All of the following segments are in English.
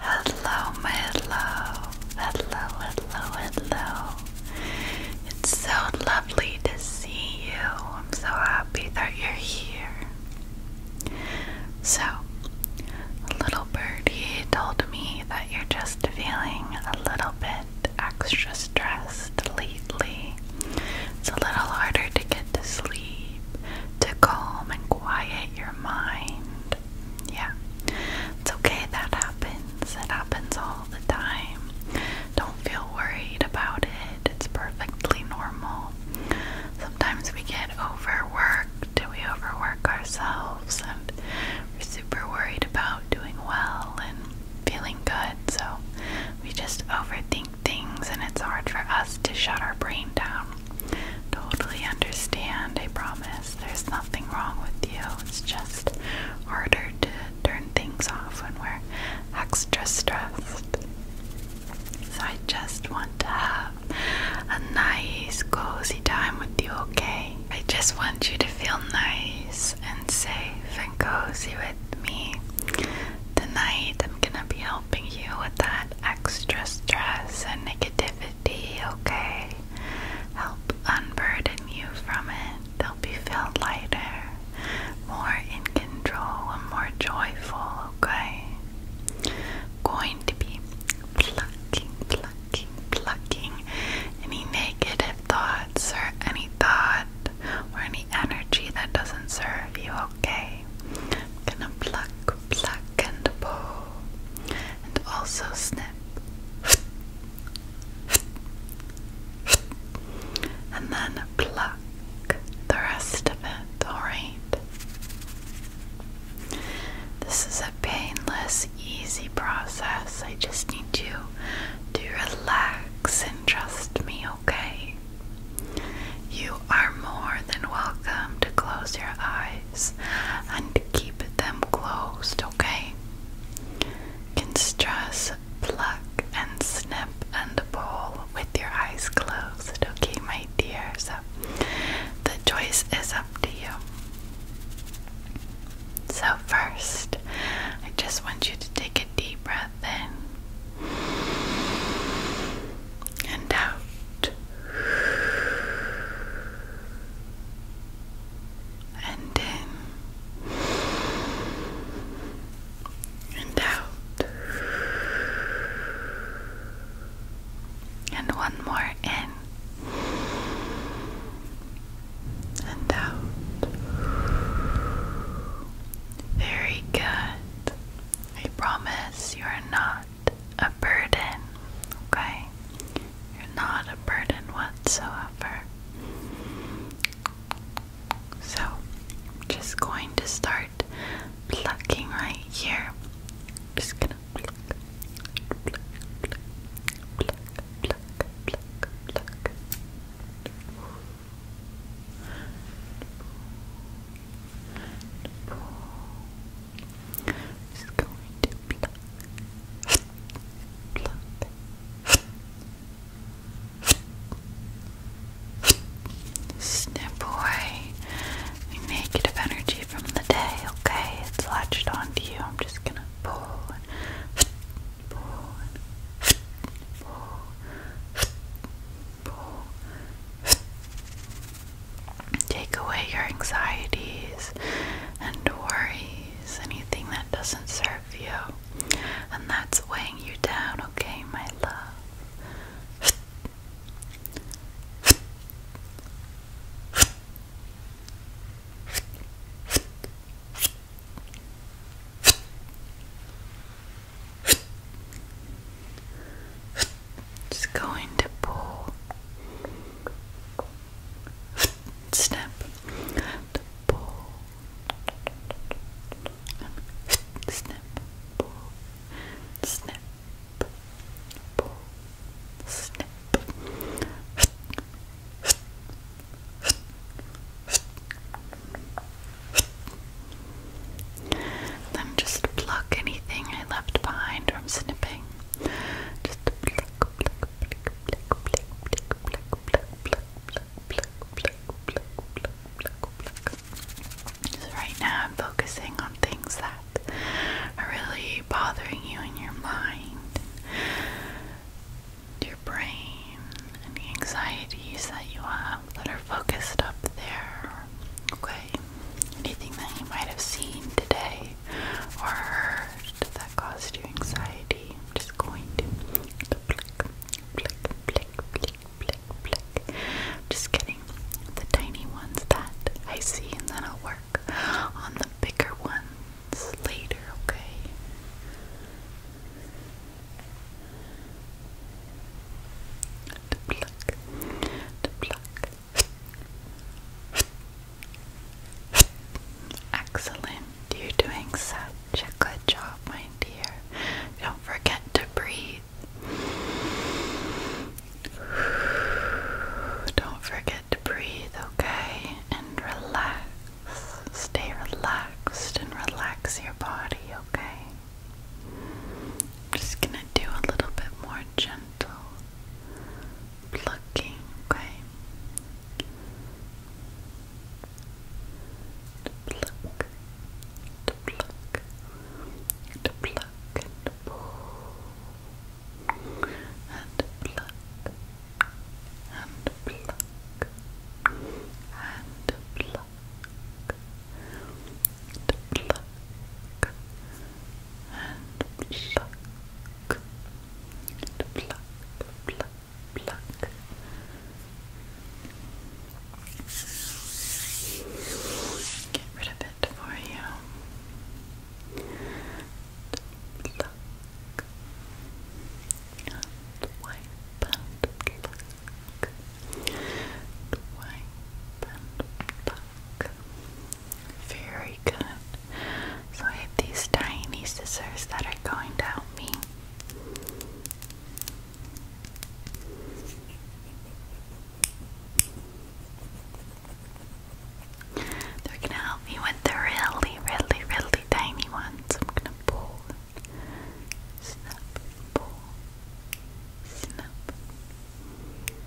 Hello, my hello, hello, hello, hello. It's so lovely to see you. I'm so happy that you're here. So, a little birdie told me that you're just feeling a little bit extra stressed lately. It's a little harder to get to sleep, to calm and quiet your mind. Yeah. It's okay that happens. It happens all the time. Don't feel worried about it. It's perfectly normal. Sometimes we get overworked. Do We overwork ourselves and we're super worried about doing well and feeling good. So we just overthink things and it's hard for us to shut our brain down. Totally understand, I promise. There's nothing wrong with you. It's just harder to turn things off when we're extra stressed. So I just want to have a nice, cozy time with you, okay? I just want you to feel nice and safe and cozy with me. Tonight I'm gonna be helping you with that extra stress and negativity, okay? Help unburden you from it. You'll be felt lighter, more in control, and more joyful, okay? Going to be plucking, plucking, plucking any negative thoughts or any thought or any energy that doesn't serve you, okay? I'm gonna pluck, pluck, and pull and also snip. And then pluck the rest of it, alright? This is a painless, easy process. I just need you to relax and trust me, okay? You are more than welcome to close your eyes and keep them closed, okay? Can stress, pluck, and snip and pull with your eyes closed, okay, my dear? So the choice is up to you. So, first, I just want you to take a deep breath in and out and in and out and one more in and out very good I promise you are not a burden, okay? You're not a burden whatsoever. So, I'm just going to start plucking right here. just gonna pluck, pluck, pluck, pluck, pluck, pluck, pluck. Pull, pull, just going to pluck, pluck, snip away negative energy from the day, okay? It's latched onto you. I'm just gonna pull and pull and pull. Take away your anxieties and worries, anything that doesn't serve you, and that's weighing you down, okay, my love. Just going to pull. Snap. To pull. Snap. Pull. Snap. Pull. Snap. Then just pluck anything I left behind from snipping. Just pluck, pluck, pluck, pluck, pluck, pluck, pluck, pluck, pluck, pluck, pluck, pluck, pluck, pluck, pluck. Right now I'm focusing on things that are really bothering you in your mind, your brain, and anxieties that you have that are focused up there okay? Anything that you might have seen today or heard that caused you anxiety, I'm just going to flick, flick, flick, flick, flick, flick. Just getting the tiny ones that I see and then I'll work on the bigger ones later, okay? To pluck, to pluck, Excellent. You're doing such a good job, my dear. Don't forget to breathe. Don't forget to breathe, okay? And relax. Stay relaxed and relax your body, okay? just gonna do a little bit more gentle gentle plucking, okay? To pluck, to pluck, to pluck, and pull, and pluck, and pluck, and pluck, to pluck, and pluck, pluck, pluck, pluck. Get rid of it for you. pluck, and wipe, and pluck, wipe, and pluck. Very good. So I have these tiny scissors that are going to help me. They're gonna help me with the really, really, really tiny ones. I'm gonna pull, snap, pull, snap,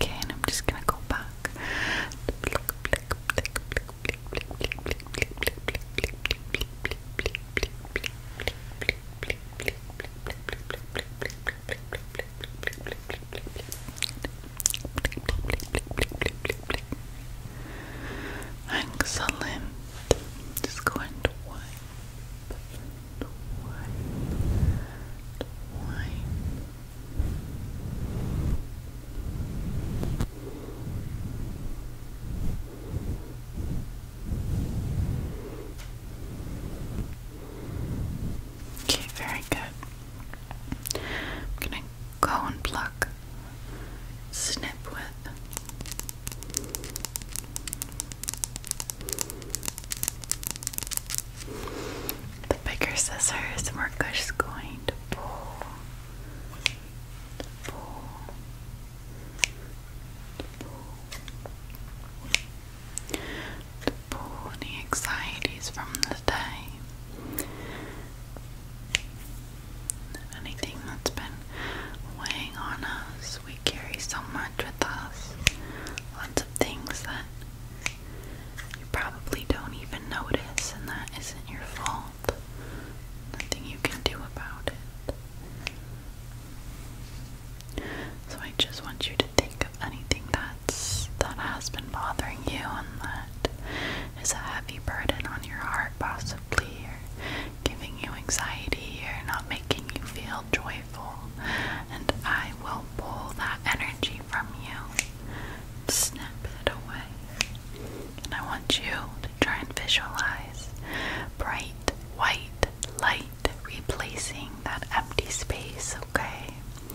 Okay, and I'm just gonna go back. Hanks just go and wipe, wipe, wipe. Okay, very good. I'm gonna go and pluck snip with. The bigger scissors, we're just going to pull, to pull, pull, pull any anxieties from the day anything that's been weighing on us. We carry so much with us. Lots of things that you probably don't even notice, and that isn't your fault. Nothing you can do about it. So I just want you to think of anything that's that has been bothering you and that is a heavy burden on your heart possibly or giving you anxiety or not making you feel joyful, and I will pull that energy from you, snap it away. And I want you to try and visualize bright white light replacing that empty space, okay?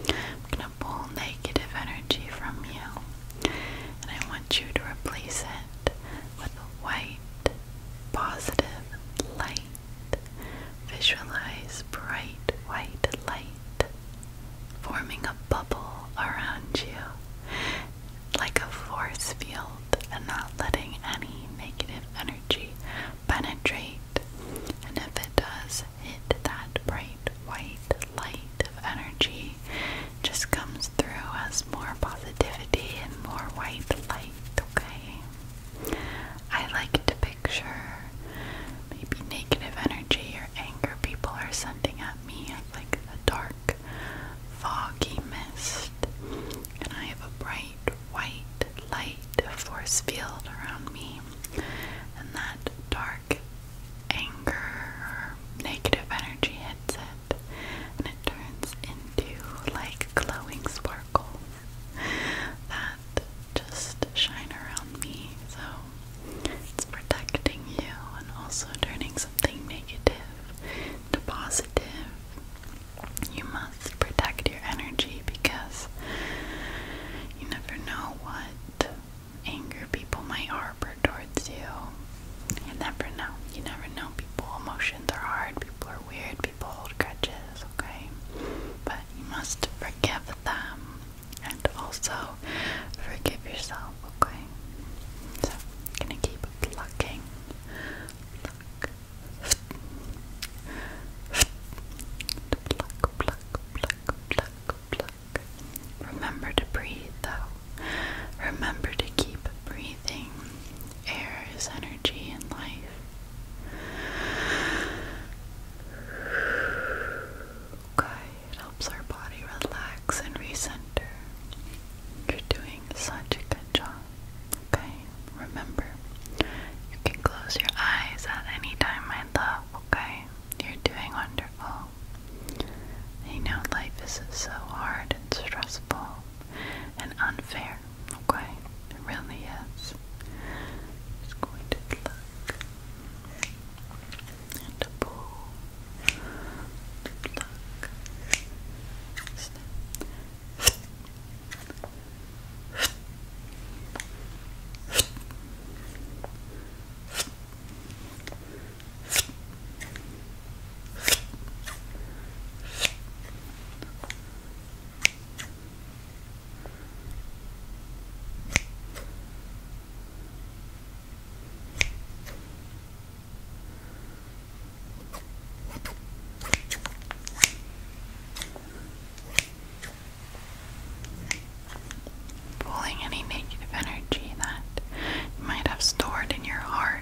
I'm gonna pull negative energy from you, and I want you to replace it with a white, positive light. Visualize bright white light forming a bubble around you, like a force field, and not letting any negative energy penetrate. And if it does, hit that bright white light of energy just comes through as more positivity and more white light, okay? I like to picture maybe negative energy or anger people are sending at me as like a dark, foggy mist, and I have a bright white light force field around me, and that dark anger negative energy hits it and it turns into like glowing sparkles that just shine around me. So it's protecting you and also turning something negative to positive. You must protect your energy because you never know what angry people might towards you. You never know. You never know. People, emotions are hard. People are weird. People hold grudges, okay? But you must forgive them and also forgive yourself, okay? So, gonna keep plucking. Pluck. Pluck, pluck, pluck, pluck, pluck. Remember to breathe though. Remember to keep breathing. Air is energy and life. Okay, it helps our body relax and recenter. You're doing such a good job. Okay, remember, you can close your eyes at any time, my love. Okay, you're doing wonderful well. know life is so hard and stressful and unfair, okay? It really is. i going to look and pull. Look. Snip. Pulling any negative energy that you might have stored in your heart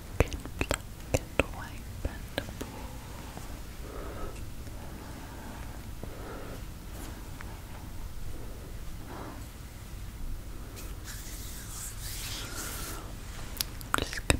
and pluck I'm just gonna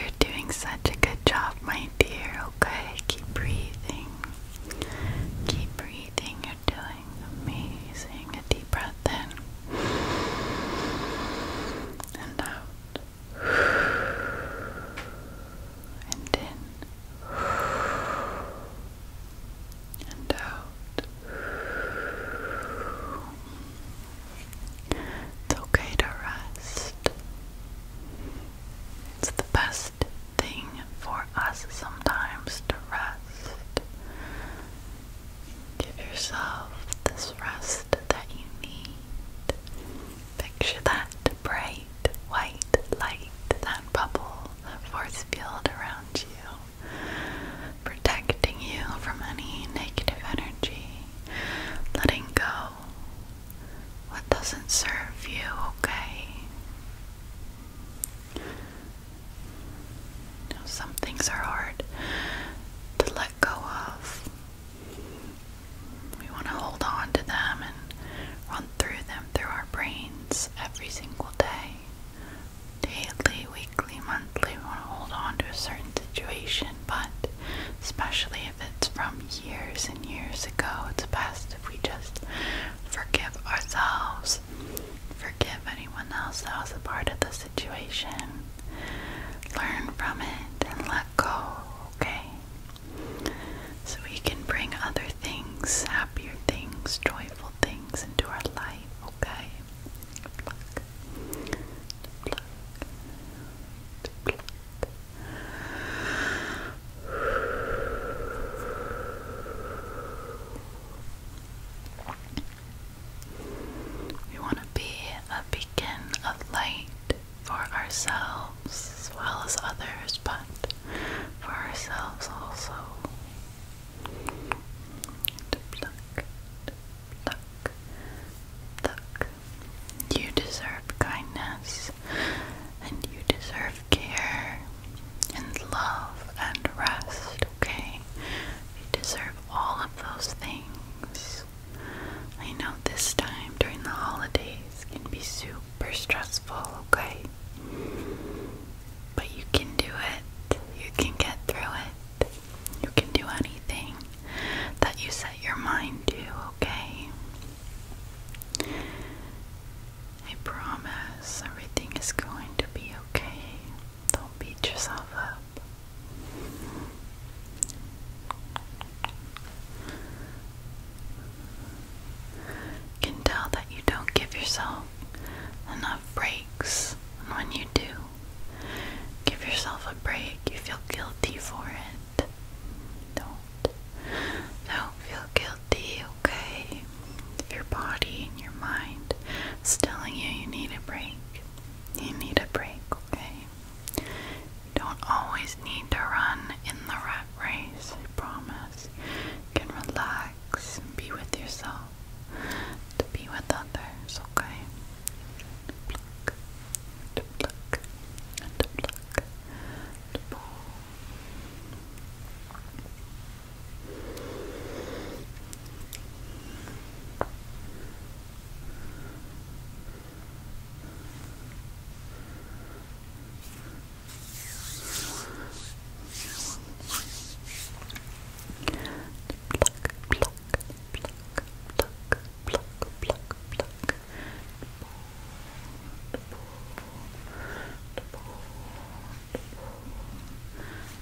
You're doing such a good job, my dear, okay? Keep breathing. Keep breathing. You're doing amazing breath in and out and in and out. It's okay to rest. It's the best thing for us sometimes to rest. Give yourself this rest that you need. Picture that bright white light, that bubble, force field around you, protecting you from any negative energy. Letting go what doesn't serve you, okay? some things are hard to let go of. We want to hold on to them and run through them through our brains every single day. Daily, weekly, monthly, we want to hold on to a certain situation, but especially if it's from years and years ago, it's best if we just forgive ourselves, forgive anyone else that was a part of the situation. Learn from it and let go, okay? So we can bring other things, happier things, joyful things into our life, okay? We want to be a beacon of light for ourselves as well as others, but for ourselves also. Pluck, pluck, pluck. You deserve kindness, and you deserve care, and love, and rest, okay? You deserve all of those things. I know this time during the holidays can be super stressful, okay? But you can do it. You can get through it. You can do anything that you set your mind to, okay? I promise everything is going to be okay. Don't beat yourself up. can tell that you don't give yourself enough breaks, and when you do, give yourself a break, you feel guilty for it. Don't. Don't feel guilty, okay? If your body and your mind is telling you you need a break, you need a break, okay? You don't always need to run in the rat race, I promise. can relax be with yourself, to be with others, okay?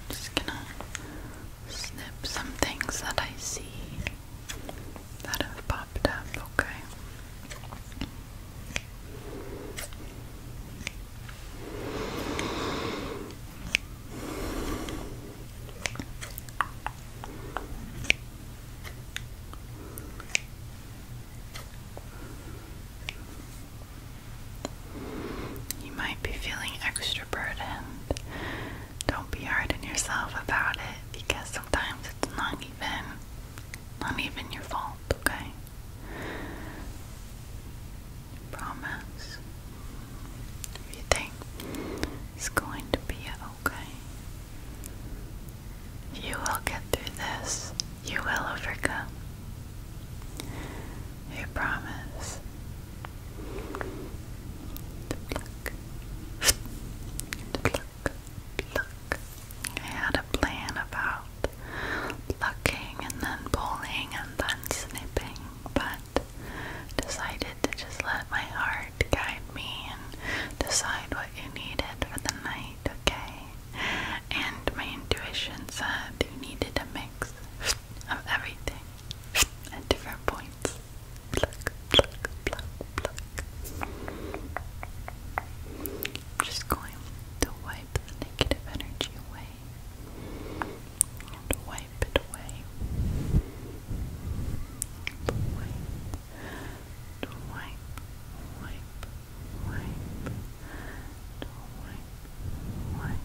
Just gonna snip some things that I see that have popped up, okay? You might be feeling extra burdened don't be hard on yourself about it because sometimes it's not even not even your fault, okay? Promise. If you think it's going to be okay. You will get through this. You will overcome. You promise pluck, pluck, pluck. I had a plan about plucking and then pulling and then snipping, but decided to just let my heart guide me and decide what you needed for the night, okay? And my intuition said you needed a mix of everything. at different points. just going to wipe the negative energy away. And wipe it away. Wipe, wipe, wipe, wipe, wipe, wipe,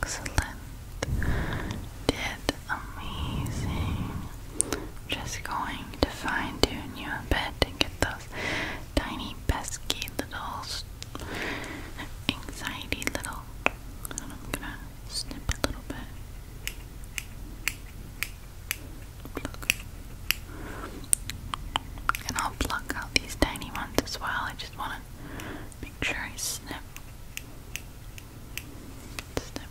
Excellent. Did amazing. Just going to fine tune you a bit get those tiny pesky little anxiety little snip a little bit. And I'll pluck out these tiny ones as well. I just want to make sure I snip. Snip.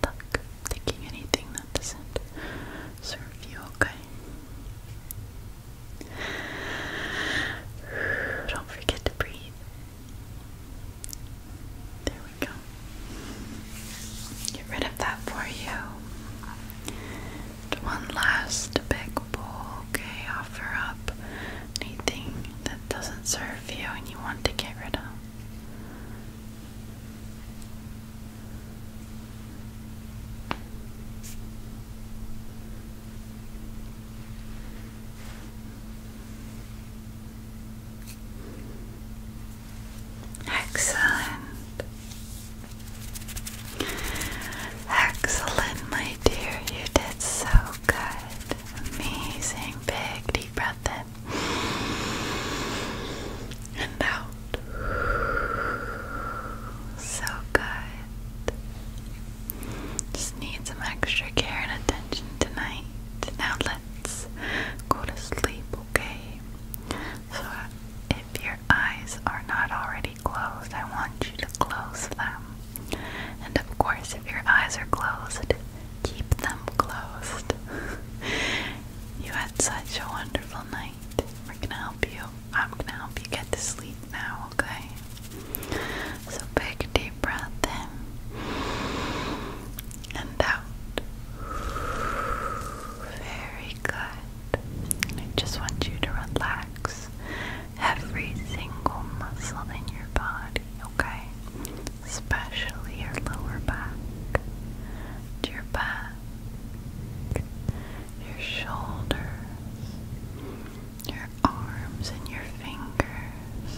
Tuck. Taking anything that doesn't serve you, okay? Don't forget to breathe. There we go. Get rid of that for you. One last big bowl, okay? Offer up anything that doesn't serve you and you want to get rid of. Excellent. Excellent, my dear. You did so good. Amazing. Big deep breath in and out. So good. Just need some extra care and attention tonight. Now let's go to sleep, okay? So if your eyes are not already closed, I want you to close them. And of course, if your eyes are closed, keep them closed. you had such a wonderful night. We're gonna help you. I'm gonna help you get to sleep now, okay? So, big deep breath in and out. Very good. I just want you to relax every single muscle in your body, okay? especially your lower back, your back, your shoulders, your arms and your fingers,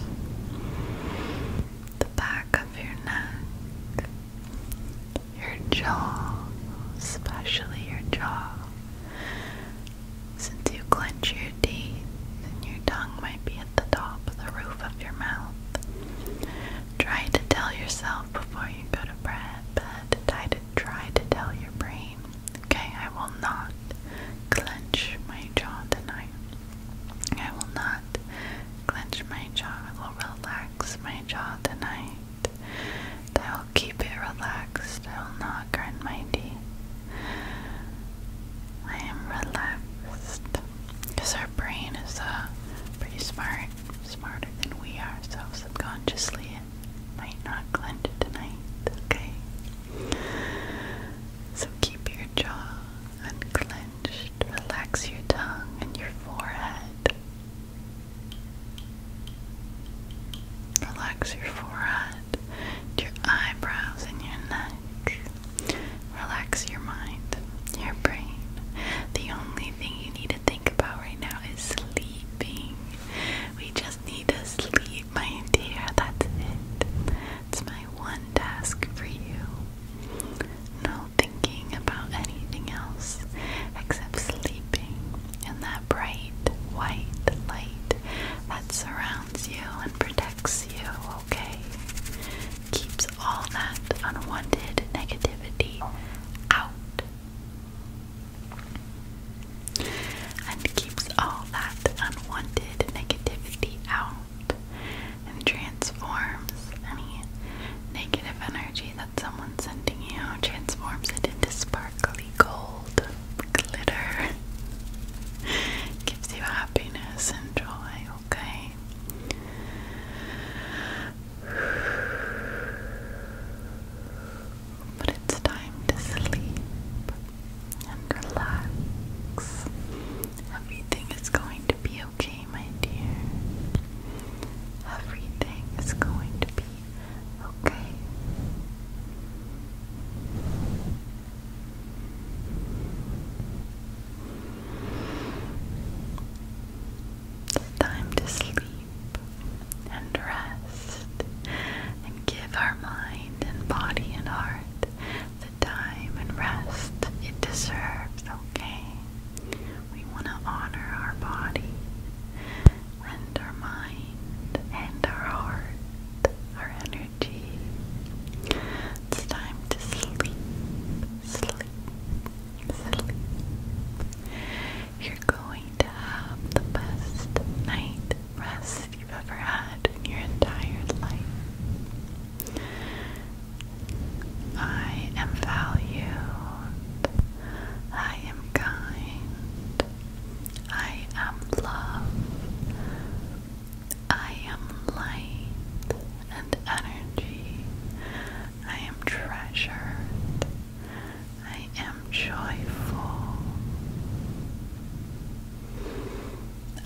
the back of your neck, your jaw, especially your jaw. Since you clench your your teeth, and your tongue might be at the top of the roof of your mouth. Try to tell yourself before you go to bed, try to try to tell your brain, okay, I will not clench my jaw tonight. I will not clench my jaw. I will relax my jaw tonight. I will keep it relaxed. I will not grind my teeth. I am relaxed because our brain is uh, pretty smart, smarter than we are, so subconsciously it might not clench tonight, okay? So keep your jaw unclenched, relax your tongue and your forehead. Relax your forehead, your eyebrows, and your neck. Relax your mind, your brain. The only thing you need to think about right now is sleeping. We just need to sleep, my dear. That's it. It's my one task for you. No thinking about anything else except sleeping in that bright white light that surrounds you and protects you okay. Keeps all that unwanted negativity out. And keeps all that unwanted negativity out and transforms any negative energy that someone's sending you, transforms it into sparkly gold glitter. Gives you happiness and joy, okay? But it's time to sleep and relax. Everything is going to be okay, my dear. Everything is going to be okay. It's time to sleep and rest and give our mind and body and heart the time and rest it deserves, okay? We want to honor our body and our mind and our heart our energy. It's time to sleep, sleep, sleep. You're going to have the best night rest you've ever had in your entire life. I am valued. I am kind. I am loved. I am light and energy. I am treasured. I am joyful.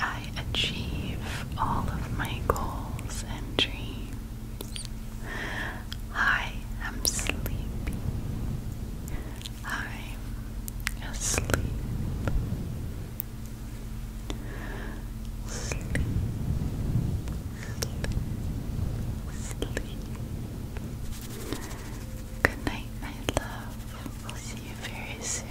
I achieve all of my goals and dreams. I am sleepy. I'm asleep. Sleep, sleep, sleep. Good night, my love. We'll see you very soon.